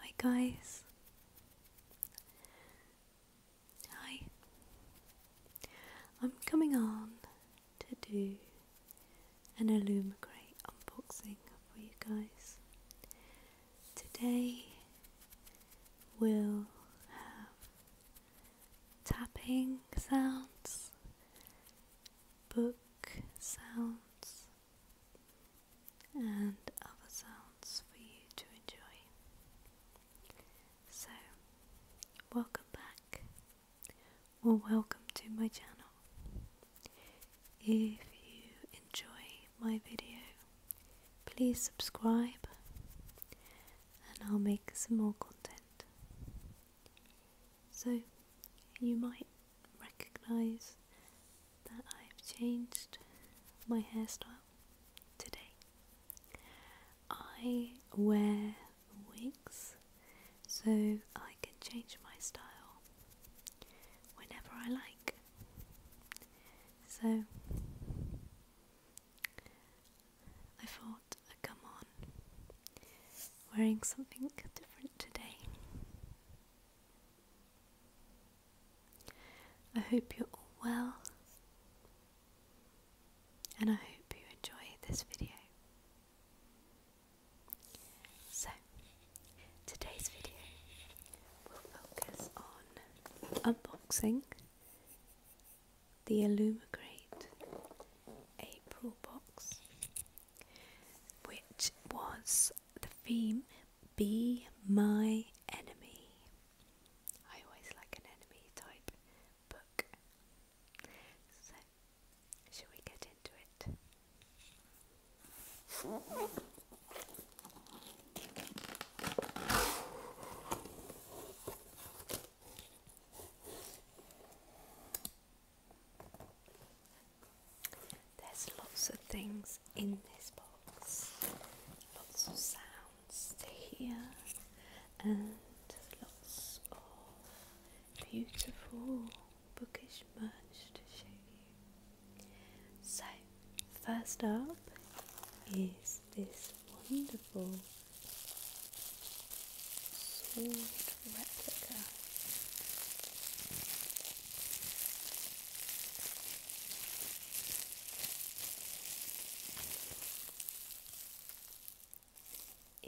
Hi guys. Hi. I'm coming on to do an Illumicrate unboxing for you guys. Today we'll have tapping sounds, book sounds, and other sounds for you to enjoy. So, welcome back, or welcome to my channel. If you enjoy my video, please subscribe and I'll make some more content. So you might recognize that I've changed my hairstyle today. I wear wigs so I can change my style whenever I like. So I thought I'd come on wearing something different today. I hope you're all well, and I hope you enjoy this video. So, today's video will focus on unboxing the Illumigrate April box which was the theme Be My Enemy. I always like an enemy type book. So, shall we get into it? There's lots of things in this box, lots of sounds to hear, and lots of beautiful bookish merch to show you. So, first up is this wonderful sword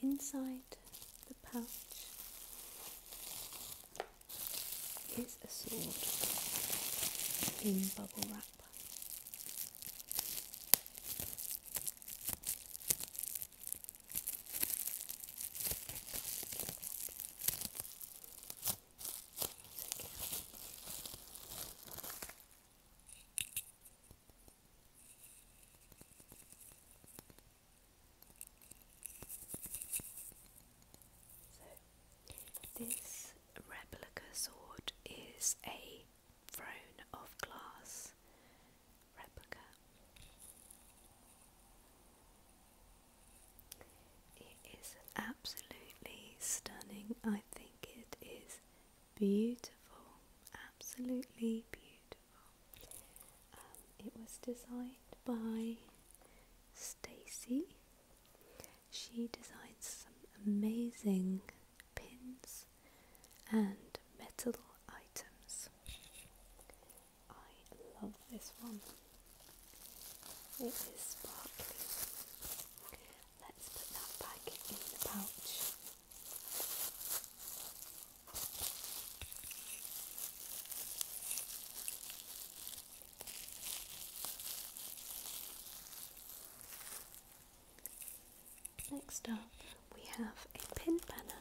Inside the pouch is a sword in bubble wrap this replica sword is a throne of glass replica. It is absolutely stunning. I think it is beautiful, absolutely beautiful. Um, it was designed by Stacy. She designed some amazing pins and metal items. I love this one. It is sparkly. Let's put that back in the pouch. Next up, we have a pin banner.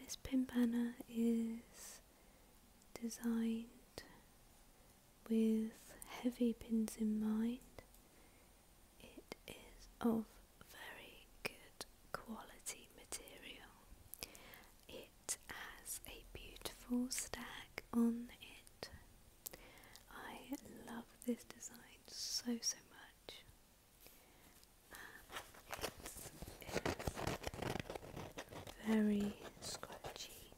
This pin banner is designed with heavy pins in mind. It is of very good quality material. It has a beautiful stack on it. I love this design so so much. it's very scratchy.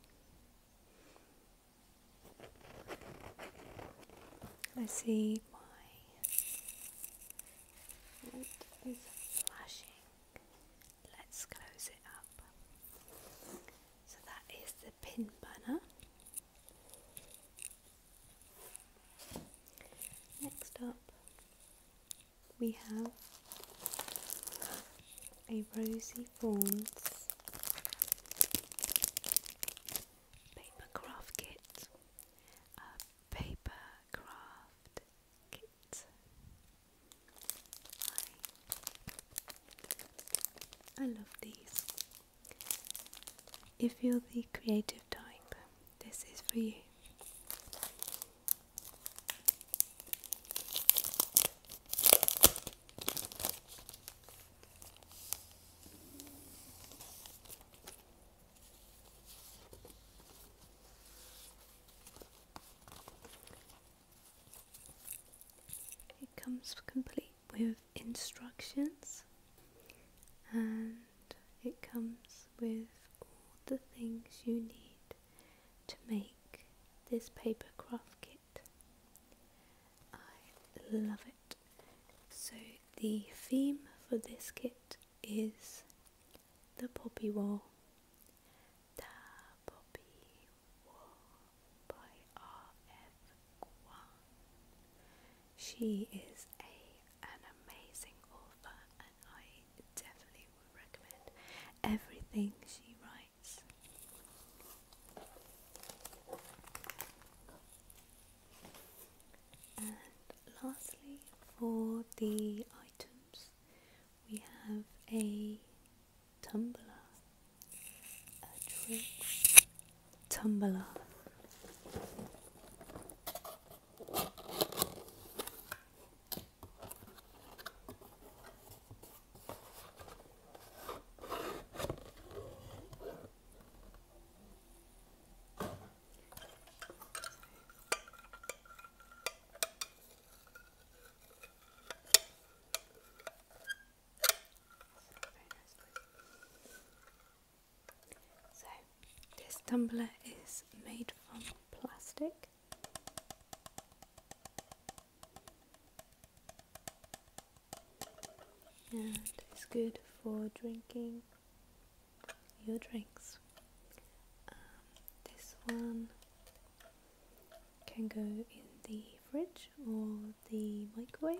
Let's see why it is flashing. Let's close it up. So that is the pin banner. Next up, we have a Rosy Fawns paper craft kit, a paper craft kit I, love these. If you're the creative type, this is for you. It comes complete with instructions and it comes with all the things you need to make this paper craft kit. I love it. So the theme for this kit is the poppy wall. The poppy by R.F. Kuan. She is a an amazing author and I definitely would recommend everything she writes. And lastly, for the items, we have a Tumbler, a trip, Tumblr. So, this tumbler is made from plastic. And it's good for drinking your drinks. Um, this one can go in the fridge or the microwave.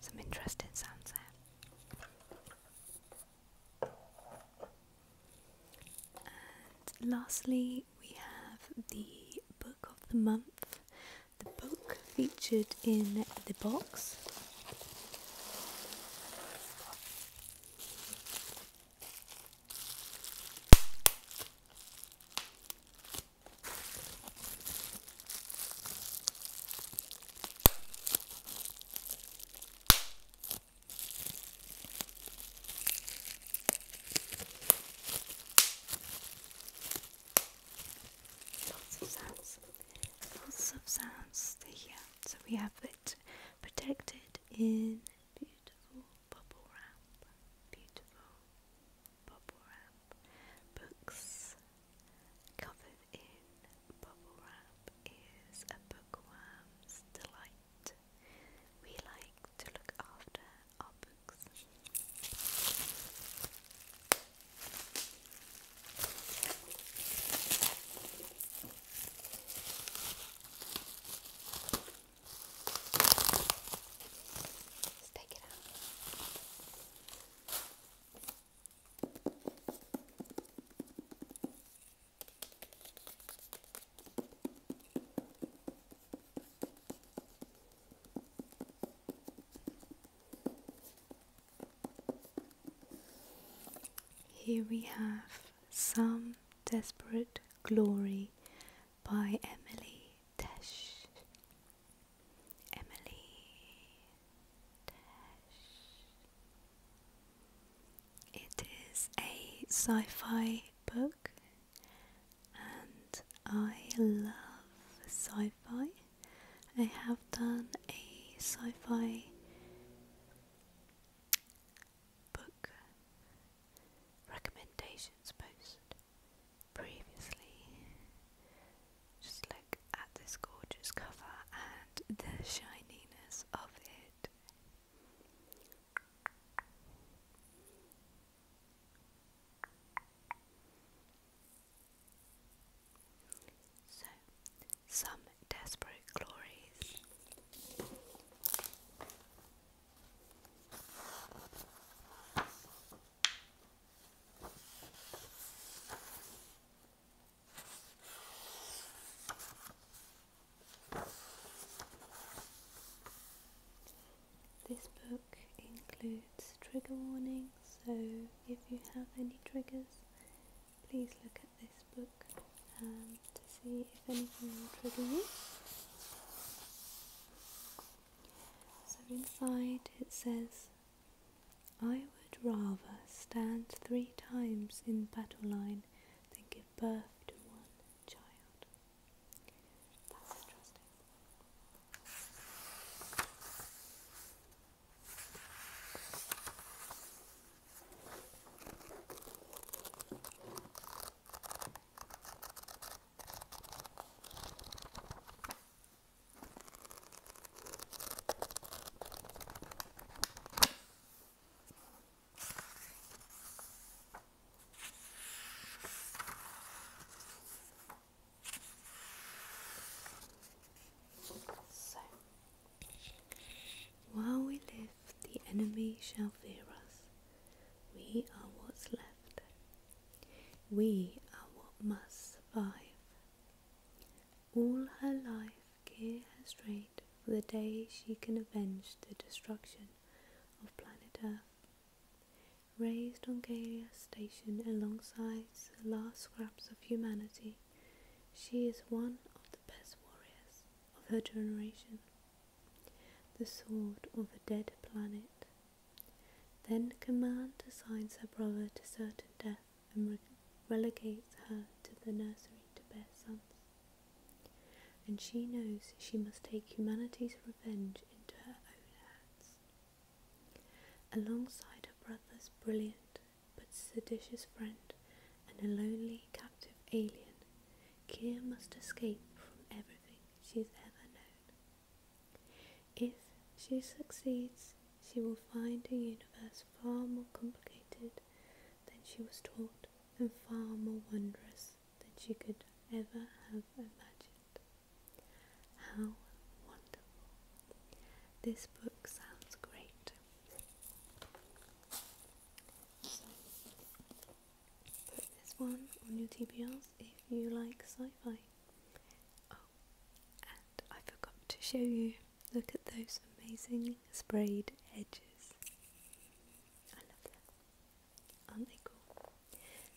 Some interesting sounds there. And lastly, we have the book of the month, the book featured in the box. Lots of sounds, lots of sounds stay here. So we have it protected in beautiful bubble wrap, beautiful bubble wrap, books covered in bubble wrap is a bookworm's delight we like to look after our books. Let's take it out. Here we have Some Desperate Glory by Emily Tesh. Emily Tesh. It is a sci fi book, and I love sci fi. I have done a sci fi book recommendations post previously. Just look at this gorgeous cover and the shininess of it. So, some desperate glories. This book includes trigger warnings, so if you have any triggers, please look at this book um, to see if anything will you. So inside it says, I would rather stand three times in battle line then give birth to one child. That's interesting while we live, the enemy shall fear us. We are what's left. We are what must survive. All her life, Gear has trained for the day she can avenge the destruction of planet Earth. Raised on Galia's station alongside the last scraps of humanity, she is one of the best warriors of her generation. The sword of a dead planet. Then command assigns her brother to certain death and relegates her to the nursery to bear sons. And she knows she must take humanity's revenge into her own hands. Alongside her brother's brilliant but seditious friend and a lonely captive alien, Kier must escape from everything she's ever known. If she succeeds, she will find a universe far more complicated than she was taught, and far more wondrous than she could ever have imagined. How wonderful! This book sounds great. put this one on your TBRs if you like sci fi. Oh, and I forgot to show you Look at those amazing sprayed edges. I love them. Aren't they cool?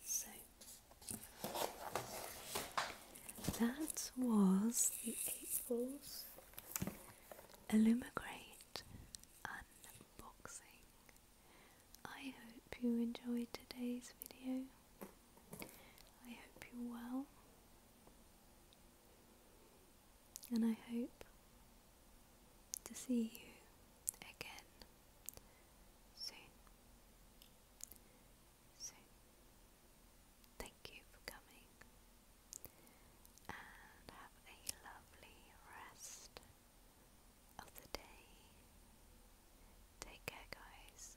So, that was the Eight Balls unboxing. I hope you enjoyed today's video. I hope you're well. And I hope to see you again soon. Soon. Thank you for coming and have a lovely rest of the day. Take care, guys.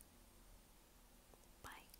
Bye.